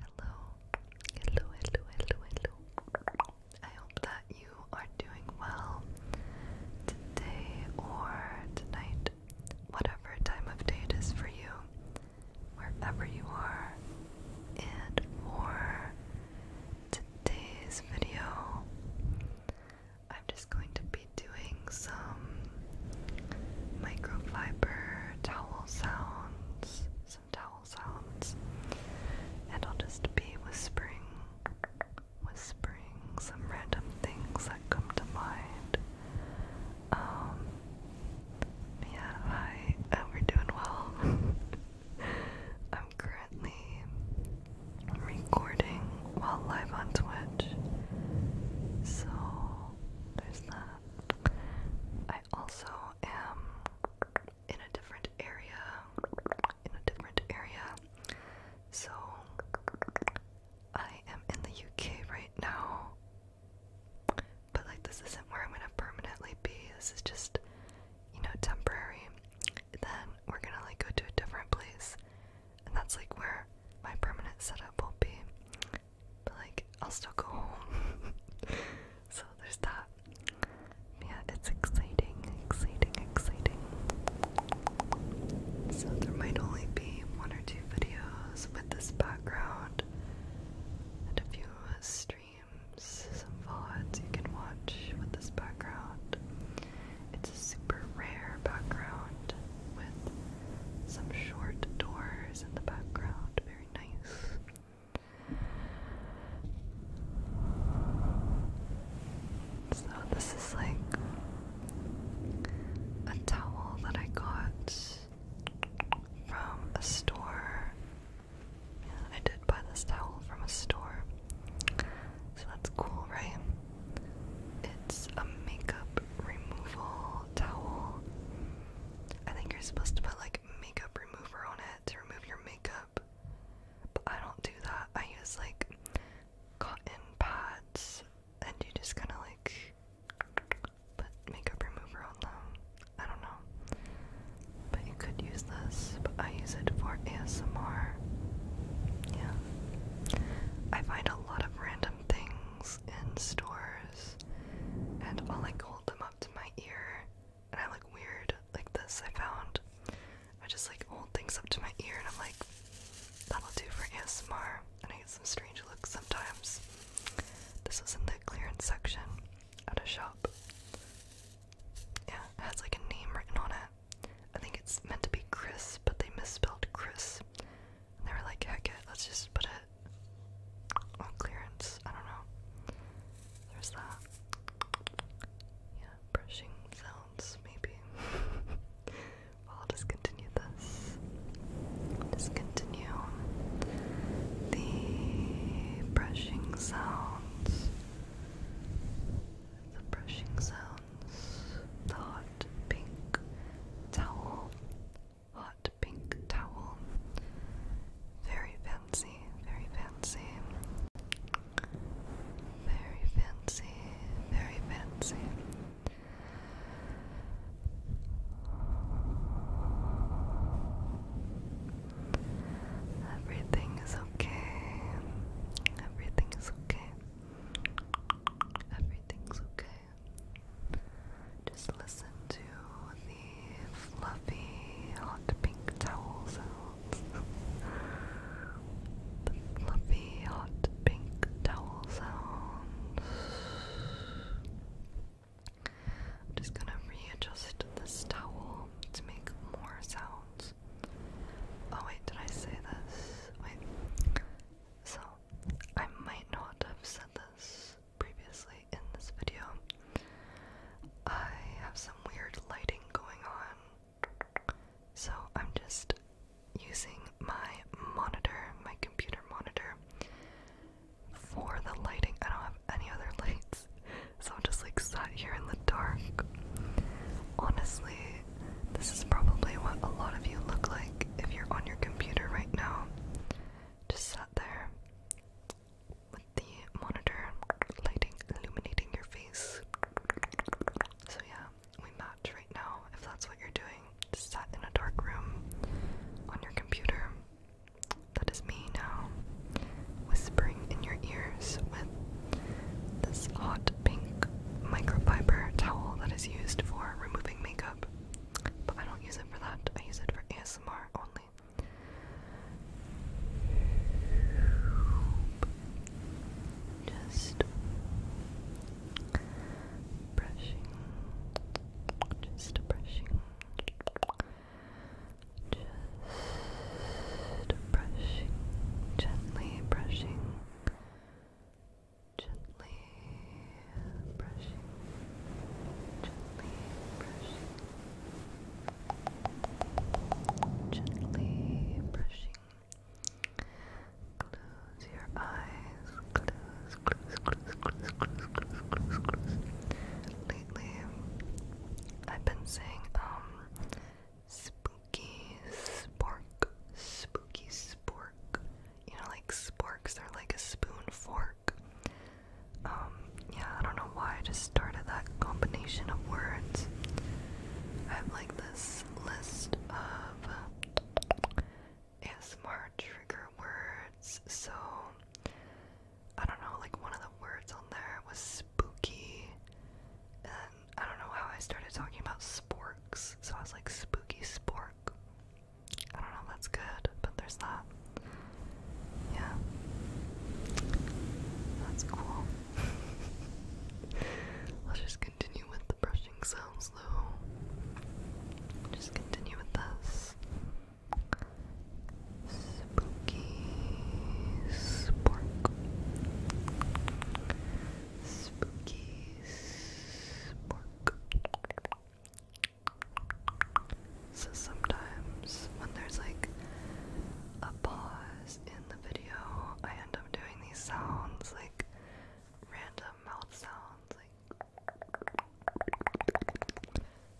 Hello, hello, hello, hello, I hope that you are doing well today or tonight, whatever time of day it is for you, wherever you are. And for today's video, I'm just going to be doing some microfiber towel sounds, some towel sounds, and I'll just be whispering, whispering some random things that come to mind. Um, yeah, hi, uh, we're doing well. I'm currently recording while live on Twitch. So there's that. I also am in a different area. In a different area. So I am in the UK right now. But like this isn't where I'm gonna permanently be. This is just, you know, temporary. Then we're gonna like go to a different place. And that's like where my permanent setup will be. But like, I'll still go home. so there's that. Yeah, it's exciting, exciting, exciting. So there might only be one or two videos with this background and a few streams, some VODs you can watch with this background. It's a super rare background with some short doors in the background. Very nice. So, this is like a towel that I got from a store. I did buy this towel from a store. So, that's cool, right? It's a makeup removal towel. I think you're supposed to put like makeup remover on it to remove your makeup. But I don't do that. I use like cotton pads and you just kind of like put makeup remover on them. I don't know. But you could use this, but I use it for ASMR. Yeah. I find a lot of random things in stores, and while I'll hold them up to my ear, and I look weird like this. I found I just like hold things up to my ear, and I'm like, that'll do for ASMR. And I get some strange looks sometimes. This was in the clearance section at a shop. Yeah, it has like a name written on it. I think it's meant to be Chris, but they misspelled Chris. They were like, heck let's just put it on clearance. I don't know. There's that. Yeah, brushing sounds, maybe. well, I'll just continue this. Just continue the brushing sounds. The brushing sounds. The hot pink towel. Hot pink towel. Very fancy, very fancy. Very fancy, very fancy. Everything is okay. Everything is okay. Everything's okay. Just listen to the fluffy hot pink towel sounds. the fluffy hot pink towel sounds. I'm just gonna readjust this towel to make more sounds. Oh wait, did I say this? Wait. So I might not have said this previously in this video. I have some weird lighting going on, so I'm just using my monitor, my computer monitor, for the lighting. I don't have any other lights, so I'm just like sat here in the dark. Honestly, this is probably what a lot of you look like if you're on your computer right now. Just sat there with the monitor lighting, illuminating your face. So, yeah, we match right now if that's what you're doing. Just sat in a dark room on your computer. That is me now, whispering in your ears with this hot pink microfiber towel that is used for removing makeup. But I don't use it for that, I use it for ASMR only. Just brushing, just brushing, just brushing, gently brushing. Gently brushing, gently brushing, gently brushing. Close your eyes, close, close, close, close, close, close, close, close. Lately, I've been saying, um, spooky spork, spooky spork. You know, like sporks are like a spoon fork. Um, yeah, I don't know why I just started that combination of words. I have like this list of ASMR trigger words, so I don't know, like one of the words on there was spooky, I don't know how I started talking about sporks, so I was like spooky spork. I don't know if that's good, but there's that. Yeah. That's cool. Let's just continue with the brushing sounds though. Just continue with this. Spooky spork. Spooky so sometimes when there's like a pause in the video, I end up doing these sounds like random mouth sounds. Like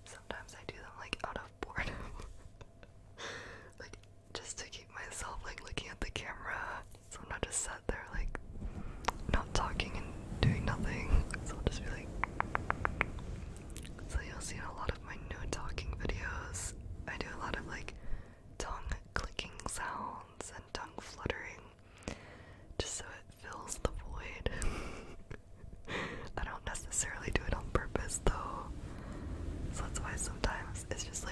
sometimes I do them like out of boredom, like just to keep myself like looking at the camera so when I just sat there like not talking and doing nothing, so I'll just be like So you'll see a lot of my no talking videos, I do a lot of like tongue clicking sounds and tongue fluttering just so it fills the void. I don't necessarily do it on purpose though. So that's why sometimes it's just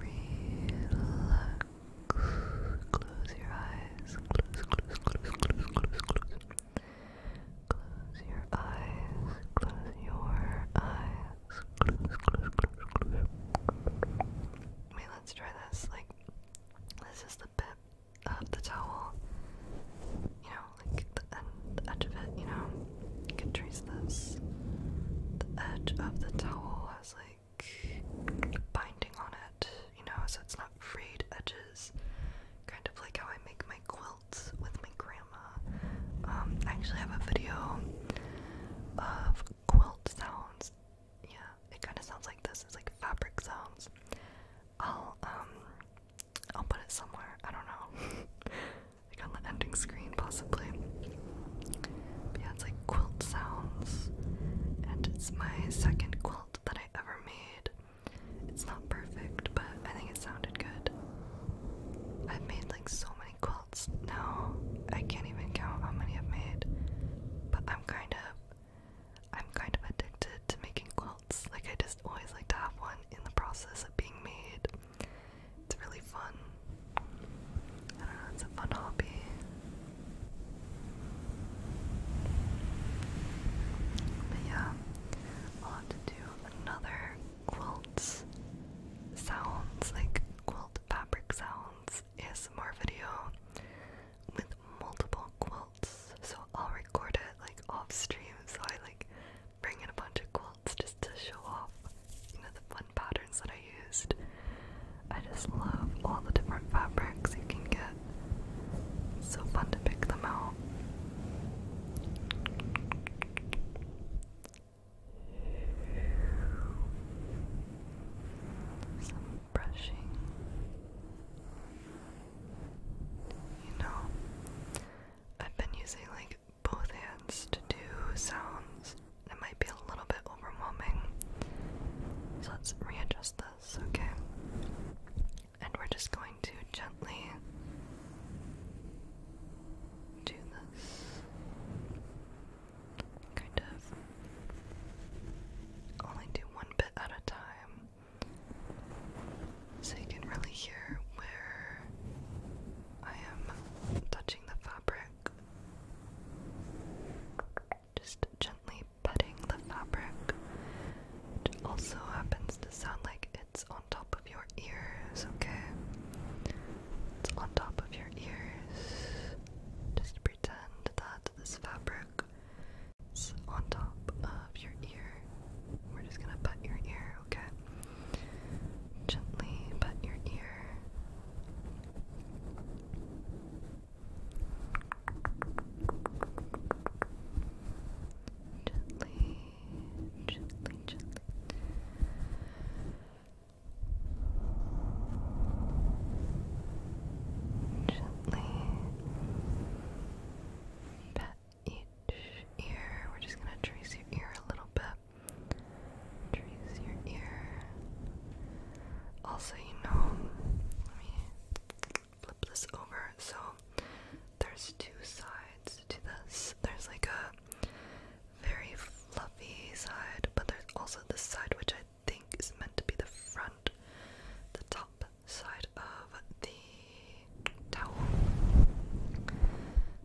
Relax. Close your eyes. Close, close, close, close, close, close. Close your eyes. Close your eyes. Close, close, close, close. Wait, let's try this. Like, this is the bit of the towel. You know, like the end, the edge of it, you know? You can trace this. The edge of the towel has like binding on it, you know, so it's not frayed edges. Kind of like how I make my quilts with my grandma. Um, I actually have a video of quilt sounds. Yeah, it kind of sounds like this. It's like fabric sounds. I'll um, I'll put it somewhere. I don't know. like on the ending screen possibly. yeah, it's like quilt sounds, and it's my second quilt that I ever made. It's not perfect, but I think it sounded good. I've made like so many quilts now. I can't even count how many I've made. But I'm kind of I'm kind of addicted to making quilts. Like I just always like to have one in the process of being made. It's really fun. it's a fun hobby. But yeah, I'll have to do another quilts sounds, like quilt fabric sounds ASMR video with multiple quilts. So I'll record it like off stream so I like bring in a bunch of quilts just to show off, you know, the fun patterns that I used. I just love all the different fabrics you can get. so fun to pick them out. Some brushing. You know, I've been using like both hands to do sounds that might be a little bit overwhelming. So let's readjust this, okay? And we're just going to gently do this. Kind of only do one bit at a time so you can really hear where I am touching the fabric, just gently petting the fabric, which also happens to sound like it's on top of your ears, okay? It's on top of your ears. Just pretend that this fabric is on top of your ear. We're just gonna pet your ear, okay? Gently but your ear. Gently, gently, gently. Gently pat each ear. We're just going to trace your ear a little bit. Trace your ear. Also, you know, let me flip this over. So, there's two sides to this. There's like a very fluffy side, but there's also this side which I think is meant to be the front, the top side of the towel.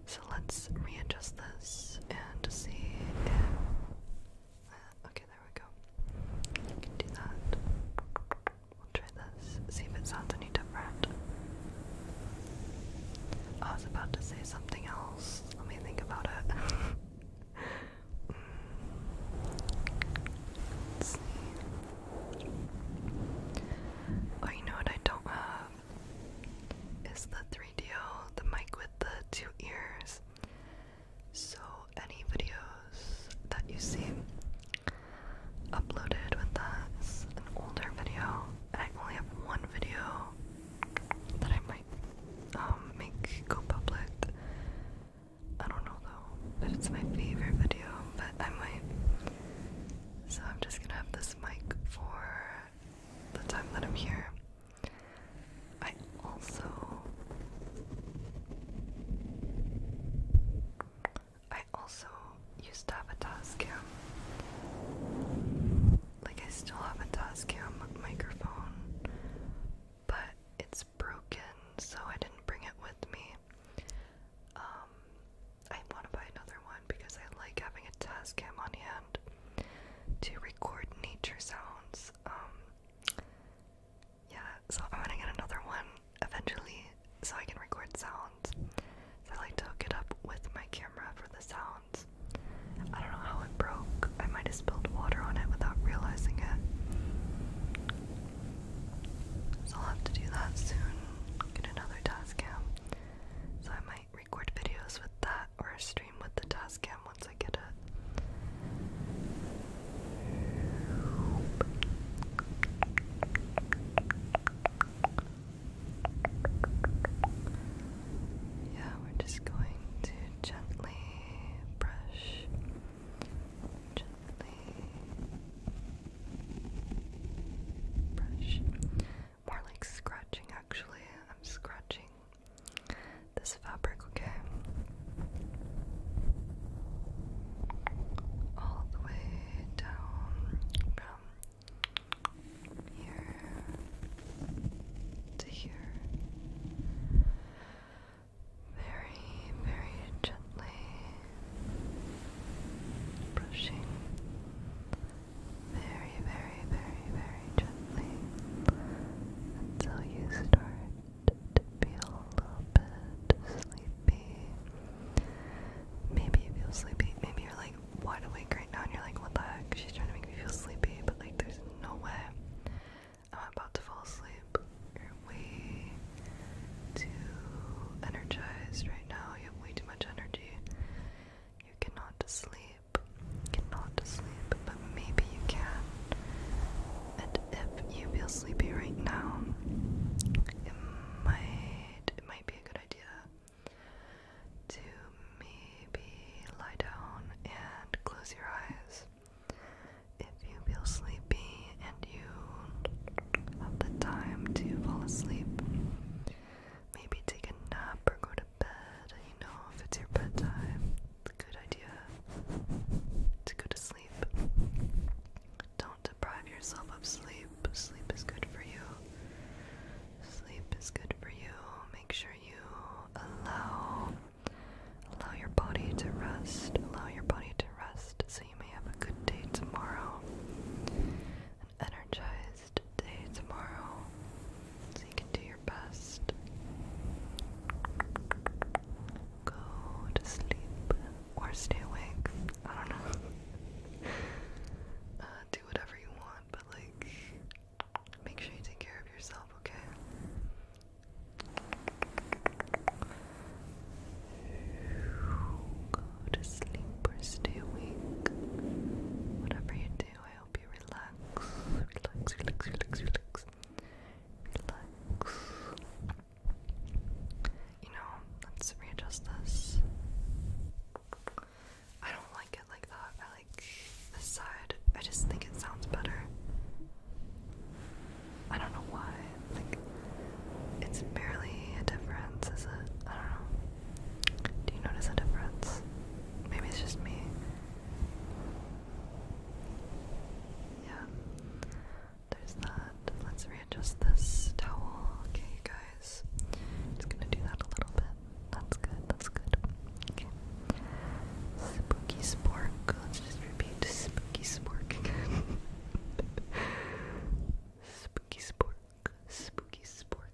So let's readjust this and see uh, okay, there we go. We can do that. We'll try this, see if it sounds any different. Oh, I was about to say something else. Let me think about it. Mm. see. Oh, you know what I don't have? is the 3DO, the mic with the two ears. So any videos that you see uploaded with that is an older video. And I only have one video that I might um, make go public. I don't know though, but it's my favorite video, but I might. So I'm just gonna have this mic for the time that I'm here. I also I also used to have a Tascam. Like I still have a Tascam microphone, but it's broken, so I didn't bring it with me. Um I want to buy another one because I like having a Tascam on hand to record nature sounds. Um, yeah, so I'm gonna get another one eventually so I can record sounds. I like to hook it up with my camera for the sounds. I don't know how it broke. I might have spilled water on it without realizing it. So I'll have to do that soon. Get another task So I might record videos with that or stream with the Tascam once I get it. Yeah, we're just going to gently brush. Gently brush. More like scratching, actually. I'm scratching this fabric, okay? All the way down from here to here. Very, very gently brushing very, very, very, very gently until you start to feel a little bit sleepy. Maybe you feel sleepy. Maybe you're like wide awake right now and you're like, what the heck? She's trying to make me feel sleepy, but like there's no way I'm about to fall asleep. You're way too energized right now. You have way too much energy. You cannot sleep, cannot sleep, but maybe you can. And if you feel sleepy right now, it might it might be a good idea to maybe lie down and close your eyes. If you feel sleepy and you have the time to fall asleep, maybe take a nap or go to bed, you know, if it's your bedtime, it's a good idea to go to sleep. Don't deprive yourself of sleep. Sleep is good for you. Sleep is good for you. Make sure you allow allow your body to rest. Allow your body to rest so you may have a good day tomorrow energized day tomorrow so you can do your best. Go to sleep or stay awake. I don't know. Uh, do whatever you want, but like, make sure you take care of yourself, okay? Go to sleep or stay awake. Whatever you I hope you relax, relax, relax, relax, relax, relax. You know, let's readjust this. I don't like it like that. I like this side. I just think it sounds better. I don't know why. Like, it's barely a difference, is it? I don't know. Do you notice a difference? Maybe it's just me. Yeah. There's that. Let's readjust this towel. Okay, guys. Just gonna do that a little bit. That's good, that's good. Okay. Spooky spork. Let's just repeat spooky spork spooky spork. Spooky spork.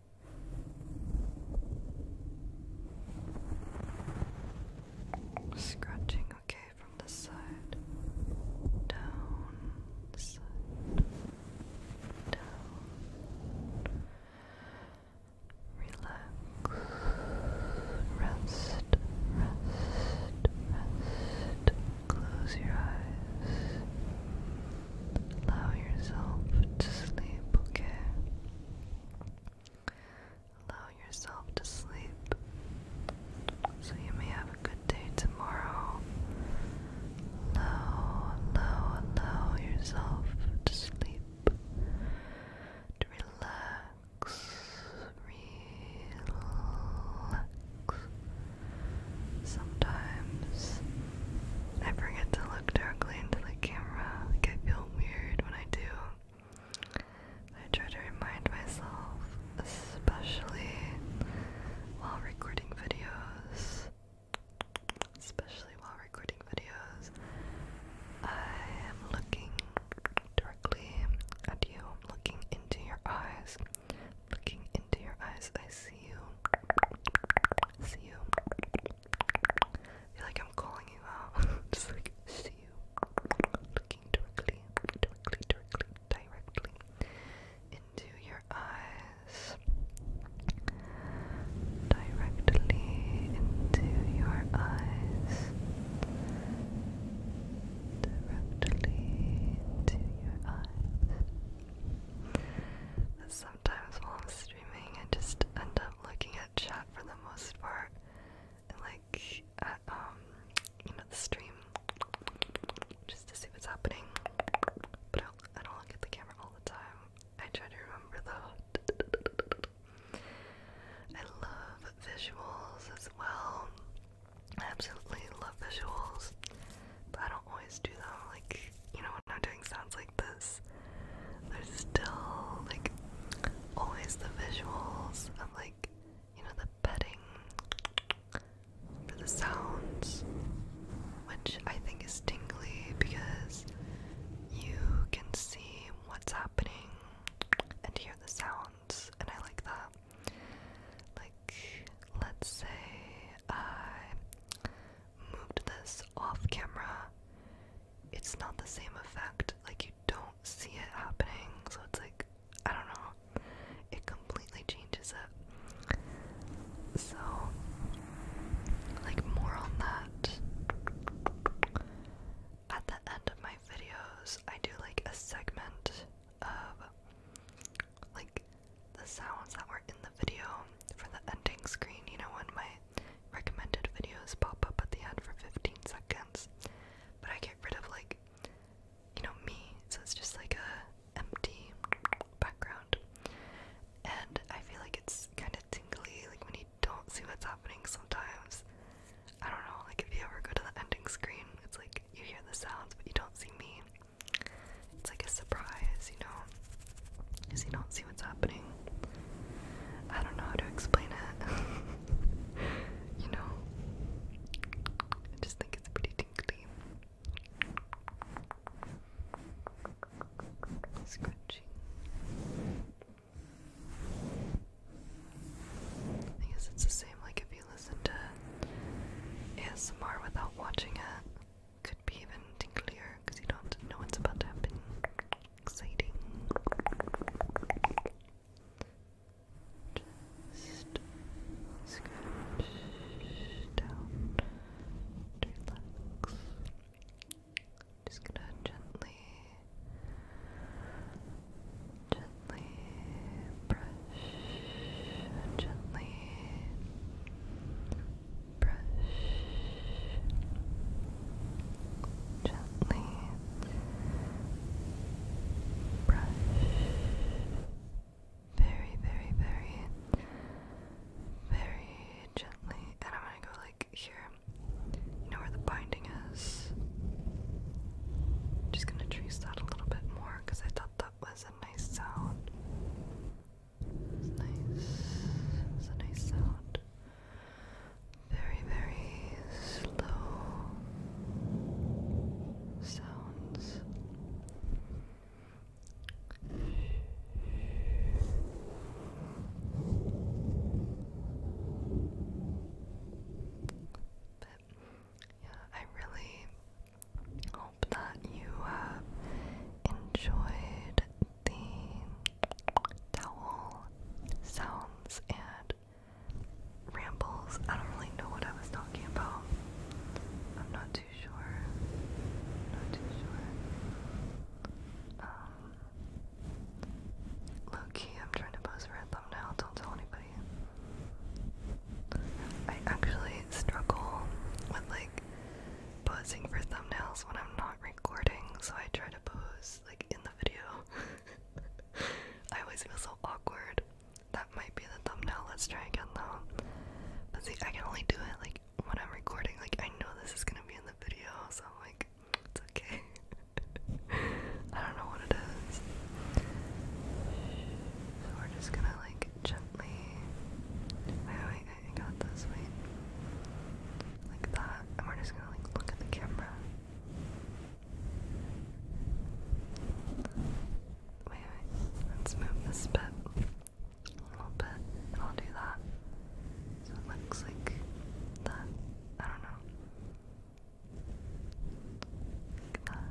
Scratching okay from the side, down, down. Relax, rest, rest, rest. Close your eyes. Allow yourself to sleep, okay? Allow yourself to sleep so you may have a good day tomorrow. Allow, allow, allow yourself to sleep, to relax, relax. Sometimes I forget to look directly into the camera. I feel weird when I do. I try to remind myself, especially while recording videos. Especially while recording videos, I am looking directly at you, looking into your eyes, looking into your eyes. I see you, see you, I feel like I'm calling you out. see you looking directly, directly, directly, directly into your eyes. Directly into your eyes. Directly into your eyes. Sometimes while I'm I just end up looking at chat for the most part, and like at um, you know, the stream, just to see what's happening. But I don't, I don't look at the camera all the time. I try to remember though. I love visuals as well. I absolutely love visuals, but I don't always do them. Like you know, what I'm doing sounds like like There's still like always the visuals of like you know the petting for the sounds, which I think is tingly because you can see what's happening and hear the sounds, and I like that. Like, let's say I moved this off camera, it's not the same effect. Like, you don't see it happening, so it's like, I don't know. It completely changes it. So, like, more on that. At the end of my videos, I do like a segment of like the sounds that were in the video for the ending screen. You know, when my recommended videos pop up at the end for 15 seconds, but I get rid of like, you know, me, so it's just like a empty background, and I feel like it's kind of tingly, like when you don't see what's happening sometimes. I don't know, like if you ever go to the ending screen, it's like you hear the sounds but you don't see me. It's like a surprise, you know? because you don't see what's happening. I don't know how to explain it. you know? I just think it's pretty tingly. Scratching. I guess it's the same like if you listen to ASMR without watching it could be even tinklier because you don't know what's about to happen. Exciting. Just scratch down relax. Just gonna gently, gently brush, gently brush gently brush very, very, very, very gently. And I'm gonna go like here, you know where the binding is. Just gonna trace that a little bit more because I thought that was a nice sound. It's nice. It's a nice sound. Very, very slow sounds. But yeah, I really hope that you have enjoyed the towel sounds and rambles. I don't really know what I was talking about. I'm not too sure. Not too sure. Um, low key, I'm trying to pose for a thumbnail. Don't tell anybody. I actually struggle with like posing for thumbnails when I'm not recording, so I try to pose like in the video. I always feel so awkward. That might be the thumbnail. Let's try again though. But see, I can only do it like when I'm recording. Like I know this is gonna be in the video, so I'm like, it's okay. I don't know what it is. So we're just gonna like gently. Wait, wait. Okay, I got this. Wait. Like that. And we're just gonna like look at the camera. Wait, wait. Let's move this bit a little bit. I'll do that. So it looks like that. I don't know. Like that.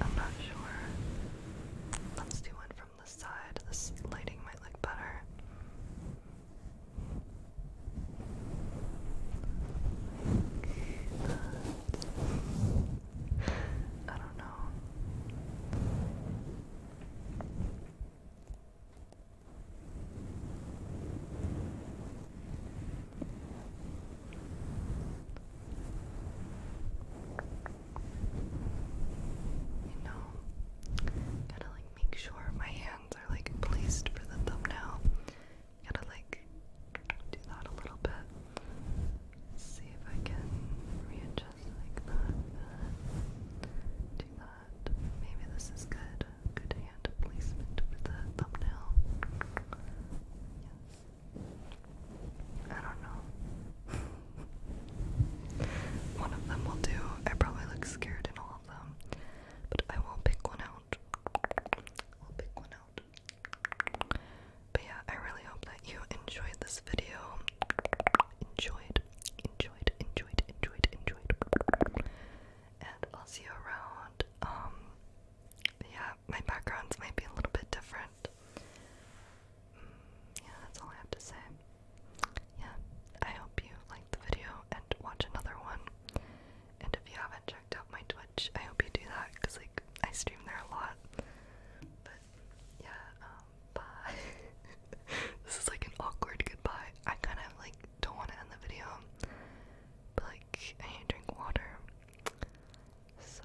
I'm not sure. Let's do one from the side. This lighting might look better. I don't know. You know, gotta like make sure my hands are like placed for the thumbnail. Gotta like do that a little bit. see if I can readjust like that. Uh, do that. Maybe this is good. Good hand placement for the thumbnail. Yes. I don't know. one of them will do. I probably look scared in all of them, but I will pick one out. I'll pick one out. But yeah, I really hope that you enjoyed this video. Enjoyed, enjoyed, enjoyed, enjoyed, enjoyed. And I'll see you around. Um, yeah, my backgrounds might be a little bit different. Mm, yeah, that's all I have to say. Yeah, I hope you liked the video and watch another one. And if you haven't checked out my Twitch, I hope you do that because like I stream there a lot. But yeah, um, bye. this is like an awkward goodbye. I kind of like don't want to end the video, but like I need to drink water. So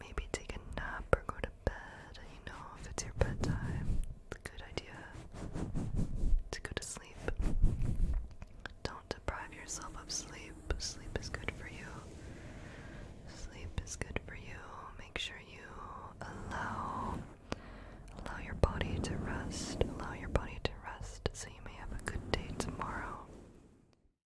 maybe take a nap or go to bed. You know, if it's your bedtime, it's a good idea to go to sleep. Don't deprive yourself of sleep. Sleep is good for you. Sleep is good for you. Make sure you allow allow your body to rest. Allow your body to rest so you may have a good day tomorrow.